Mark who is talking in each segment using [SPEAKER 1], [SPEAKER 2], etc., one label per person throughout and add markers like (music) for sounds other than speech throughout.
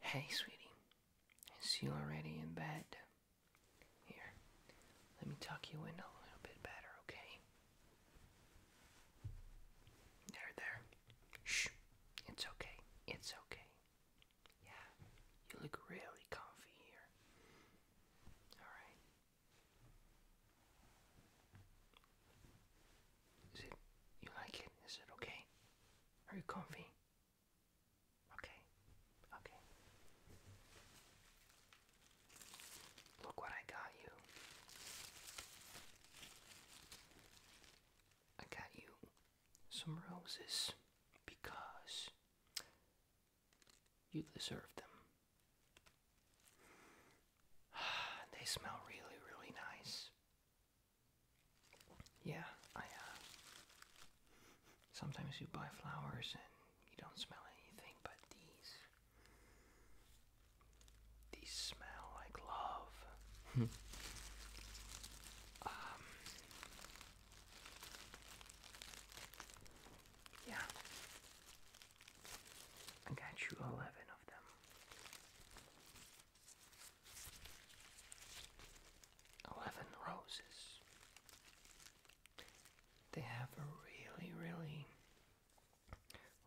[SPEAKER 1] Hey, sweetie, is you already in bed? Here, let me tuck you in a little bit better, okay? There, there. Shh, it's okay, it's okay. Yeah, you look really comfy here. Alright. Is it, you like it? Is it okay? Are you comfy? Okay, okay. Look what I got you. I got you some roses because you deserve them. (sighs) They smell really, really nice. Yeah, I, uh, Sometimes you buy flowers and you don't smell anything but these. These smell like love. Hmm. Um, yeah. I got you 11 of them. Eleven Roses. They have a really, really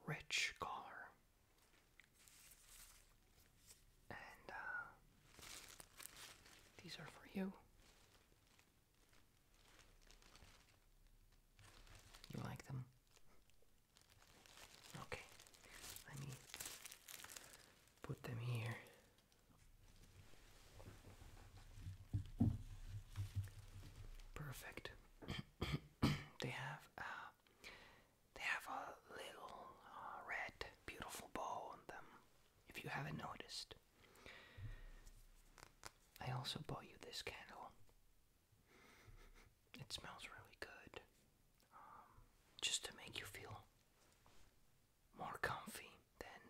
[SPEAKER 1] rich color. And uh, these are for you. You like them? Okay, let me put them here. Perfect. (coughs) they have uh, they have a little uh, red, beautiful bow on them. If you haven't noticed, I also bought you this candle. It smells really good. Um, just to make you feel more comfy than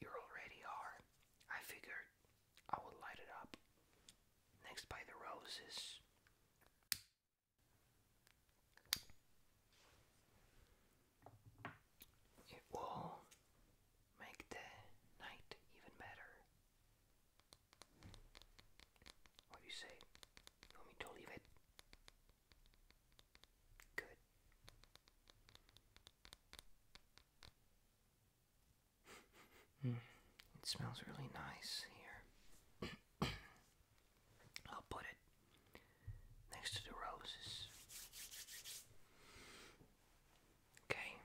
[SPEAKER 1] you already are. I figured I would light it up. Next by the roses. It will make the night even better. What do you say? want me to leave it? Good. (laughs) it smells really nice here. (coughs) I'll put it next to the roses. Okay.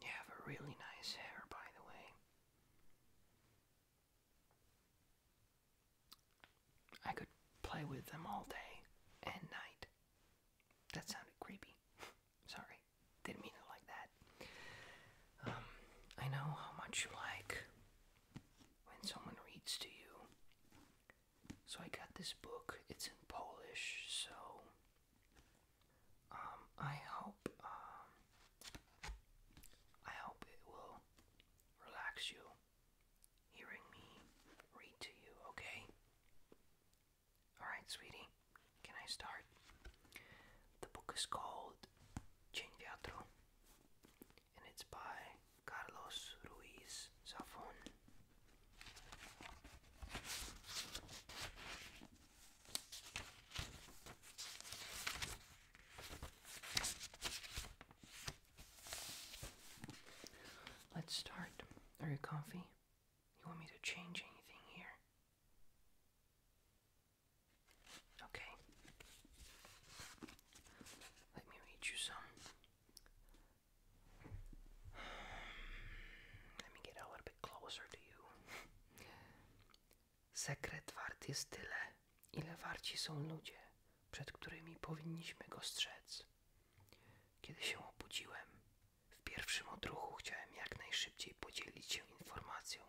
[SPEAKER 1] You have a really nice hair, by the way. I could play with them all day and night. That sounded creepy. (laughs) Sorry, didn't mean it like that. Um, I know how much you like when someone reads to you so I got this book. It's in Polish, so um, I hope um, I hope it will relax you hearing me read to you, okay? Alright, sweetie, can I start? The book is called Cien and it's by Carlos Ruiz Zafón. Let's start. Are you comfy? You want me to change anything here? Okay. Let me read you some Let me get a little bit closer to you. Sekret wart jest tyle, ile warci są ludzie, przed którymi powinniśmy go strzec. Kiedy się obudziłem, w pierwszym odruchu chciałem jak najszybciej podzielić się informacją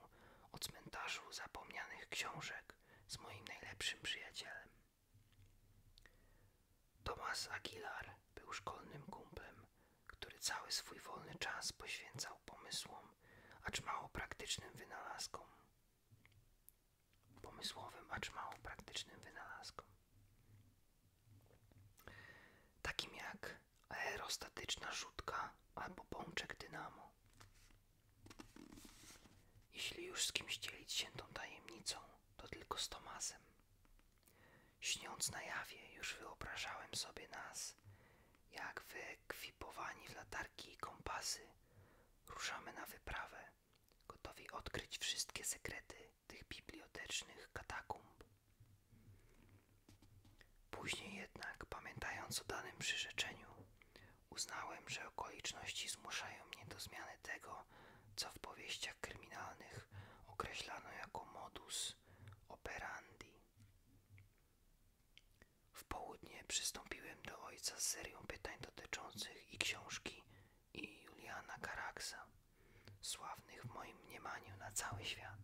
[SPEAKER 1] o cmentarzu zapomnianych książek z moim najlepszym przyjacielem. Tomas Aguilar był szkolnym kumplem, który cały swój wolny czas poświęcał pomysłom, acz mało praktycznym wynalazkom. Pomysłowym, acz mało praktycznym wynalazkom. Takim jak aerostatyczna rzutka albo pączek dynamo. Jeśli już z kimś dzielić się tą tajemnicą, to tylko z Tomasem. Śniąc na jawie, już wyobrażałem sobie nas, jak wyekwipowani w latarki i kompasy ruszamy na wyprawę, gotowi odkryć wszystkie sekrety tych bibliotecznych katakumb. Później jednak, pamiętając o danym przyrzeczeniu, uznałem, że okoliczności zmuszają mnie do zmiany tego, co w powieściach kryminalnych określano jako modus operandi. W południe przystąpiłem do ojca z serią pytań dotyczących i książki, i Juliana Karaksa, sławnych w moim mniemaniu na cały świat.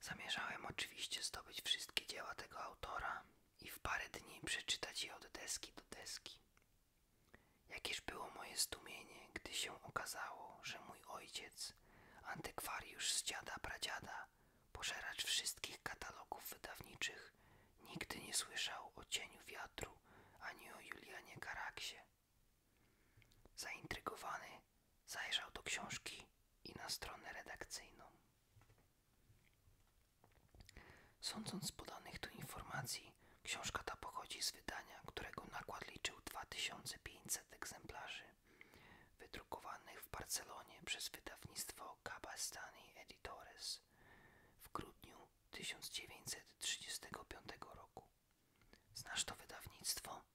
[SPEAKER 1] Zamierzałem oczywiście zdobyć wszystkie dzieła tego autora i w parę dni przeczytać je od deski do deski. Jakież było moje zdumienie, gdy się okazało, że mój ojciec, antykwariusz z dziada pradziada, pożeracz wszystkich katalogów wydawniczych, nigdy nie słyszał o cieniu wiatru ani o Julianie Karaksie. Zaintrygowany Zajrzał do książki i na stronę redakcyjną. Sądząc z podanych tu informacji, książka ta pochodzi z wydania, którego nakład liczył 2500 egzemplarzy, wydrukowanych w Barcelonie przez wydawnictwo Cabastani Editores w grudniu 1935 roku. Znasz to wydawnictwo?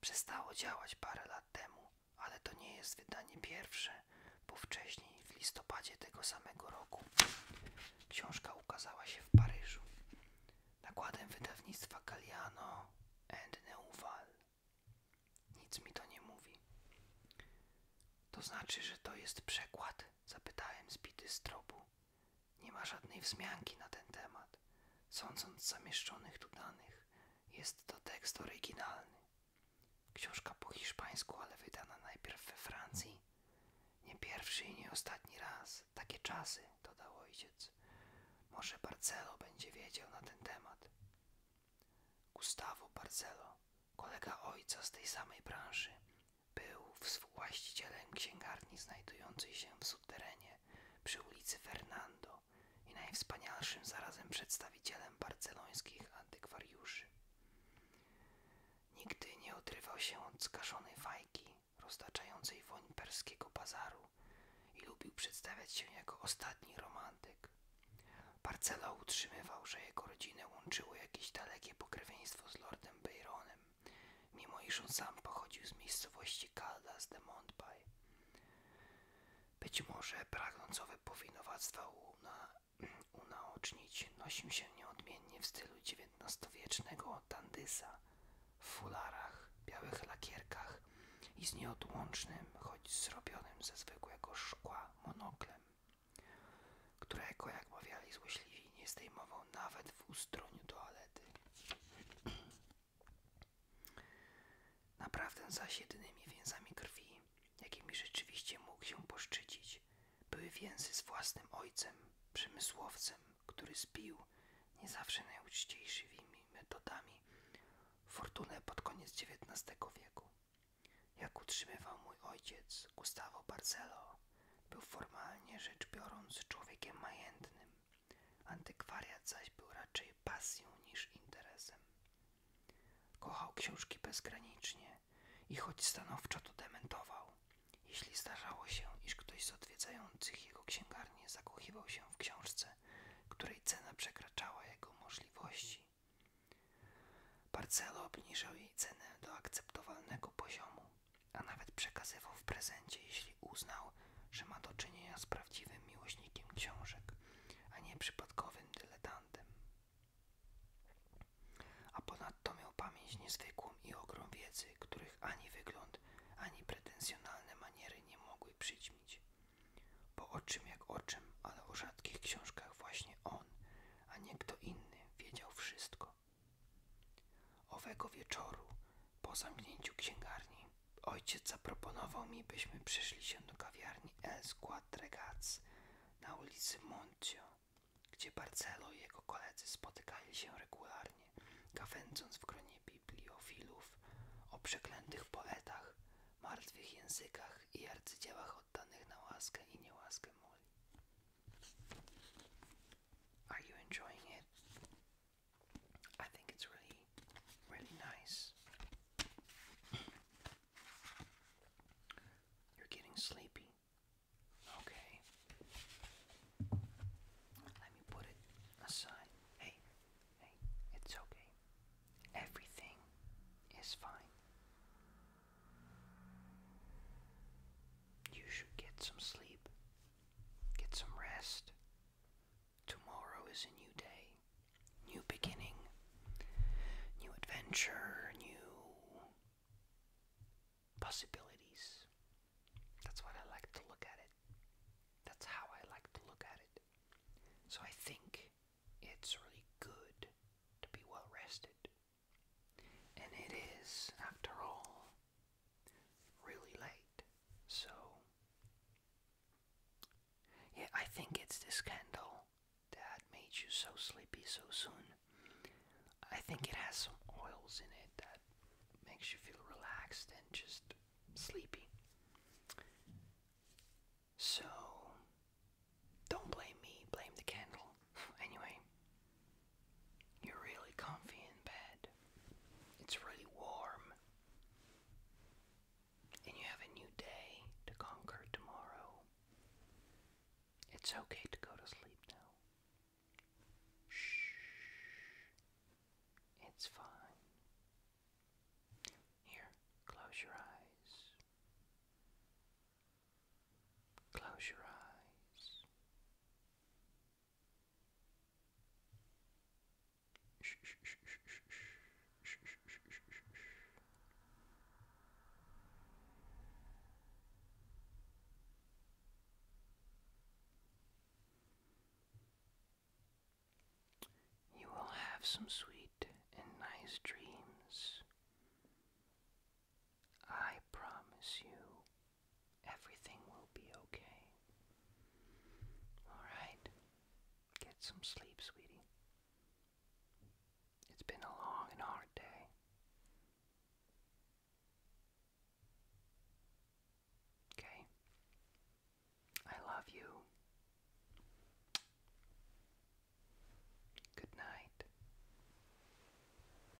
[SPEAKER 1] Przestało działać parę lat temu, ale to nie jest wydanie pierwsze, bo wcześniej, w listopadzie tego samego roku, książka ukazała się w Paryżu. Nakładem wydawnictwa Galliano and Neuval. Nic mi to nie mówi. To znaczy, że to jest przekład? Zapytałem zbity z tropu. Nie ma żadnej wzmianki na ten temat. Sądząc zamieszczonych tu danych, jest to tekst oryginalny. Książka po hiszpańsku, ale wydana najpierw we Francji. Nie pierwszy i nie ostatni raz. Takie czasy, dodał ojciec. Może Barcelo będzie wiedział na ten temat. Gustavo Barcelo, kolega ojca z tej samej branży, był współwłaścicielem księgarni znajdującej się w subterenie przy ulicy Fernando i najwspanialszym zarazem przedstawicielem barcelońskich antykwariuszy. Nigdy nie odrywał się od skaszonej fajki, roztaczającej woń perskiego bazaru i lubił przedstawiać się jako ostatni romantyk. Parcela utrzymywał, że jego rodzinę łączyło jakieś dalekie pokrewieństwo z lordem Bayronem, mimo iż on sam pochodził z miejscowości Caldas de Montbay, być może pragnącowe powinowactwa una, (clears throat) unaocznić nosił się nieodmiennie w stylu XIX-wiecznego tandysa, w fularach, białych lakierkach i z nieodłącznym, choć zrobionym ze zwykłego szkła monoklem, którego, jak mawiali złośliwi, nie zdejmował nawet w ustroniu toalety. (clears throat) Naprawdę zaś jedynymi więzami krwi, jakimi rzeczywiście mógł się poszczycić, były więzy z własnym ojcem, przemysłowcem, który zbił, nie zawsze najuczciwszymi metodami, fortunę pod koniec XIX wieku. Jak utrzymywał mój ojciec, Gustavo Barcelo, był formalnie rzecz biorąc człowiekiem majętnym, Antykwariat zaś był raczej pasją niż interesem. Kochał książki bezgranicznie i choć stanowczo to dementował, jeśli zdarzało się, iż ktoś z odwiedzających jego księgarnię zakochiwał się w książce, której cena przekraczała jego możliwości. Parcelo obniżał jej cenę do akceptowalnego poziomu, a nawet przekazywał w prezencie, jeśli uznał, że ma do czynienia z prawdziwym miłośnikiem książek, a nie przypadkowym dyletantem. A ponadto miał pamięć niezwykłą i ogrom wiedzy, których ani wygląd, ani pretensjonalne maniery nie mogły przyćmić. Po o czym jak o czym, ale o rzadkich książkach właśnie on, a nie kto inny, wiedział wszystko. Owego wieczoru, po zamknięciu księgarni, ojciec zaproponował mi, byśmy przeszli się do kawiarni El Squad na ulicy Moncio, gdzie Barcelo i jego koledzy spotykali się regularnie, gawędząc w gronie bibliofilów o przeklętych poetach, martwych językach i arcydziełach oddanych na łaskę i niełaskę moli. I think it's really, really nice. You're getting sleepy. Okay. Let me put it aside. Hey, hey, it's okay. Everything is fine. You should get some sleep. Get some rest. Tomorrow is a new day, new beginning, new adventure, new possibilities. That's what I like to look at it. That's how I like to look at it. So I think it's really good to be well rested. And it is, after all, really late. So, yeah, I think it's this candle that made you so sleepy so soon. I think it has some oils in it that makes you feel relaxed and just sleepy. So, don't blame me, blame the candle. (laughs) anyway, you're really comfy in bed. It's really warm. And you have a new day to conquer tomorrow. It's okay to go to sleep now. Shh. It's fine. Here, close your eyes. Close your eyes. You will have some sweet and nice dreams. I promise you everything will be okay. Alright, get some sleep, sweetie. It's been a long and hard day. Okay? I love you. Good night.